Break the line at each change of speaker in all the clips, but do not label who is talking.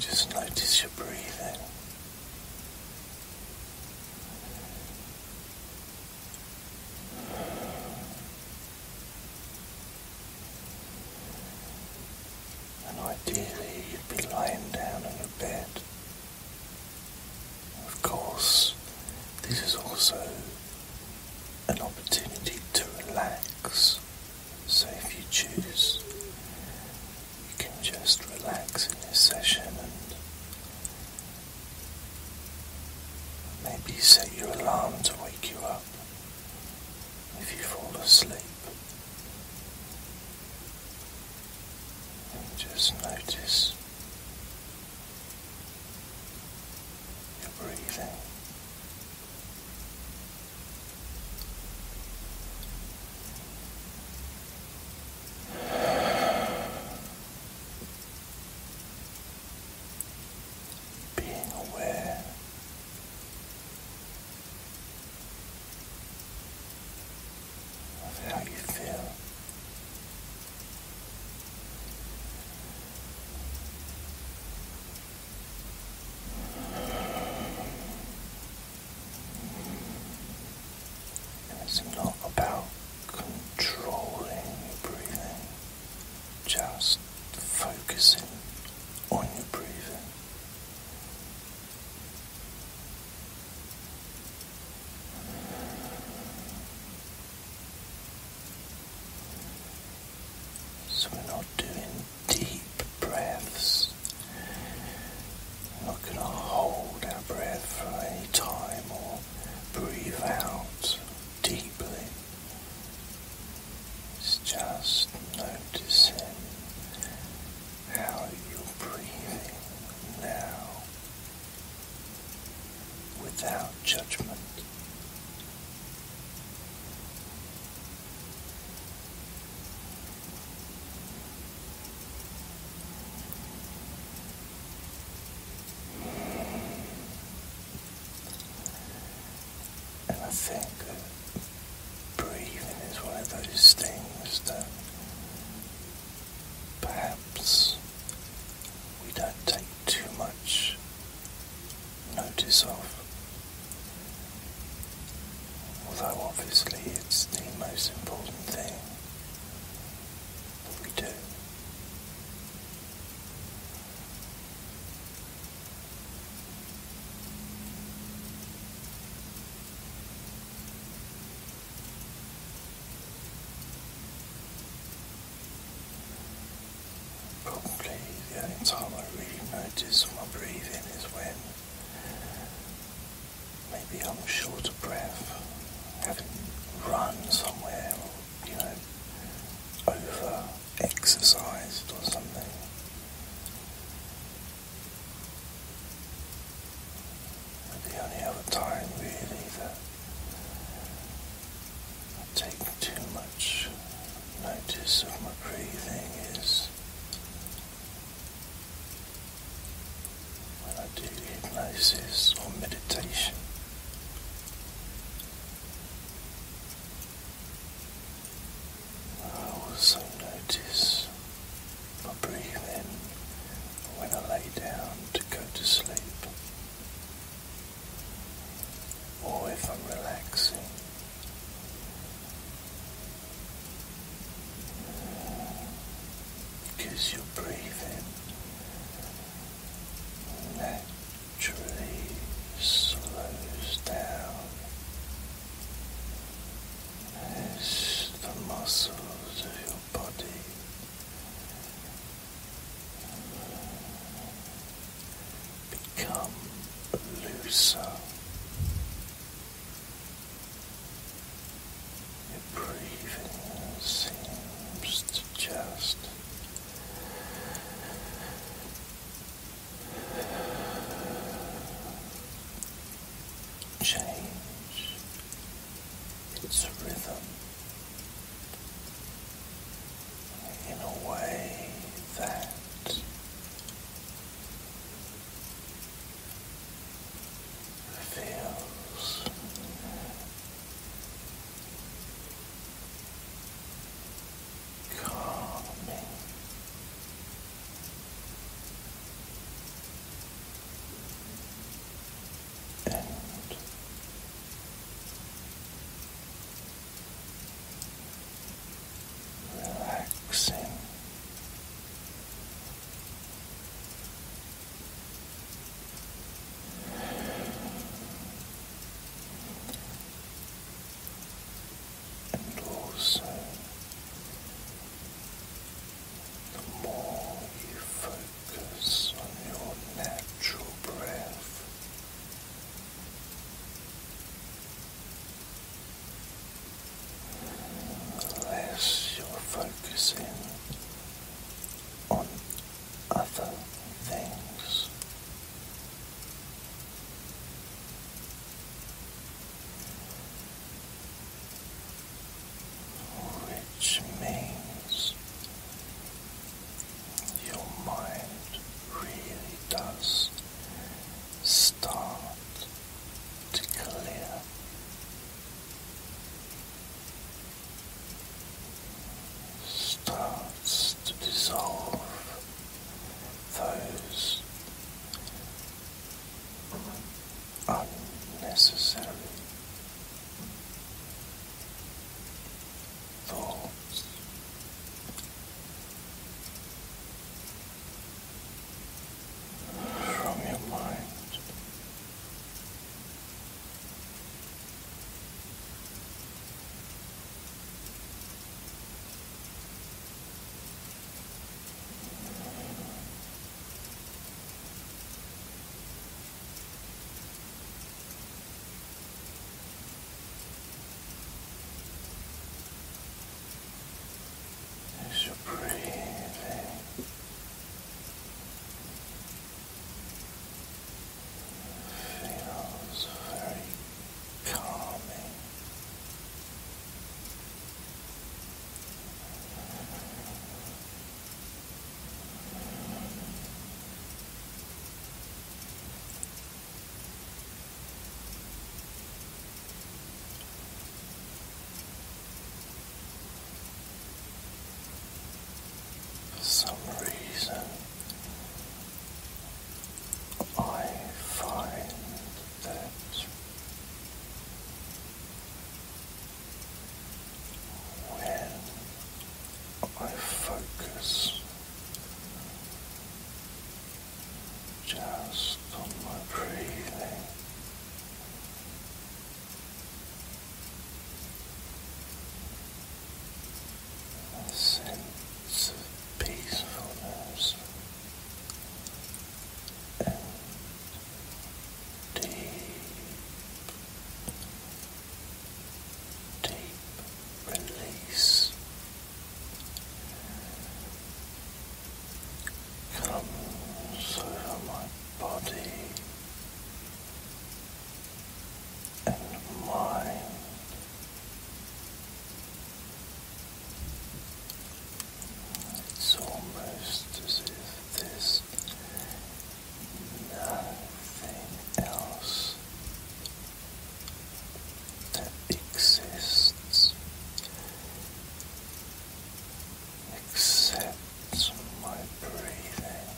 Just notice your breathing. And ideally, you'd be lying down on your bed. Of course, this is also an opportunity to relax. So, if you choose, you can just relax in this session and maybe set your alarm to wake you up if you fall asleep. just notice you're breathing. Being aware of how you feel. It's not about controlling your breathing, just focusing on your breathing. So we're not doing deep breaths. We're not going to hold our breath for any time or breathe out deeply. It's just noticing how you're breathing now without judgment. And I think breathing is one of those things that perhaps we don't take too much notice of. Although obviously it's the most important thing that we do. Probably the only time I really notice my breathing is when maybe I'm short of breath, having run somewhere or, you know, over exercised or something. the only other time really that I take too much notice of my breathing is when I do hypnosis or meditation. I also notice my breathing when I lay down to go to sleep or if I'm relaxing. Because you're breathing naturally slows down as the muscles of your body Become looser. Your breathing seems to just change its rhythm in a way that feels calming. And relaxing. And also, the more you focus on your natural breath, unless you're focusing on other things. Which means your mind really does start to clear. Starts to dissolve those unnecessary thoughts. From your mind, as you breathing. Feels very calming. For some reason, I find that when I focus just on my breathing. A sense of peacefulness and deep deep release comes over my body and mind. It's almost as if there's nothing else that exists except my breathing.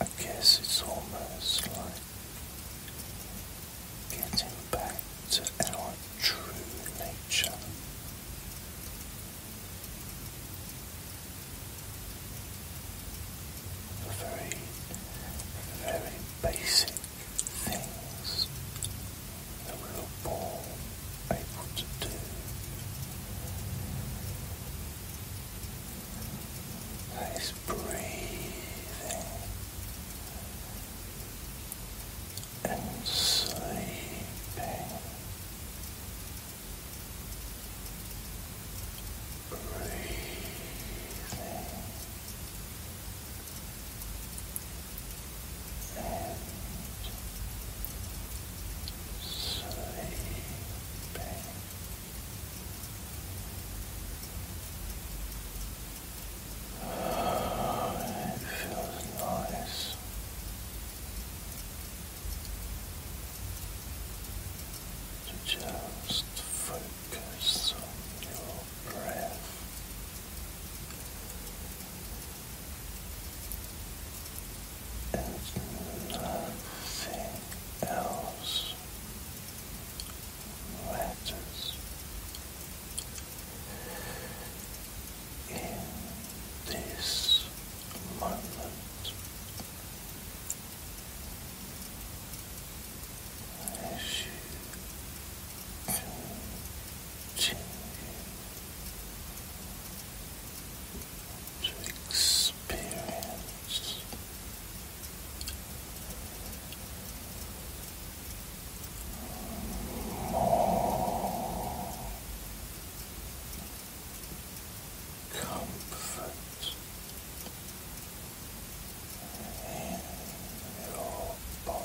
I guess it's almost like getting back to our true nature. The very, very basic things that we were born able to do. That is breathing and sleeping breathing and sleeping Oh, it feels nice. To just focus on your breath. And nothing else letters in this moment. As you continue to experience more comfort in your body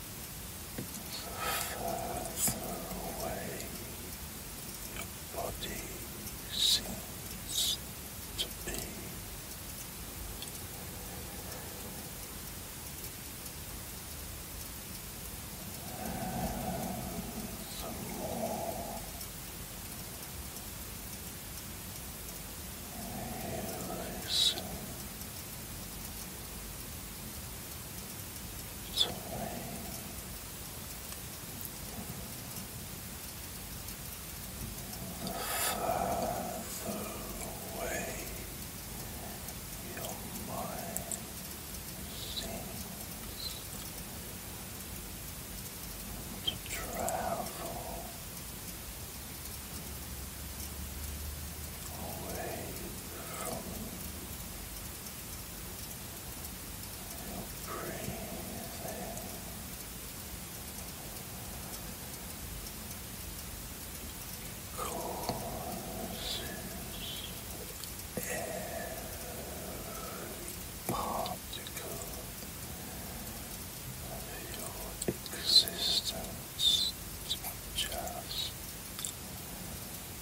further away your body seems to be. And the more you listen, sway. The further away your mind seems to travel away from breathing. Causes every particle your existence to just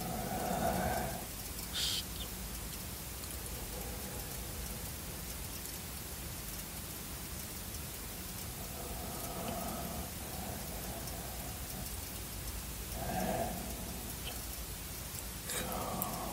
Relaxed. And calm.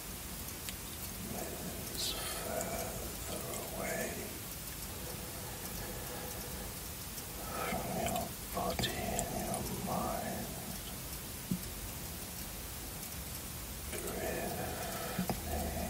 moves further away from your body and your mind. Drifting, breathing.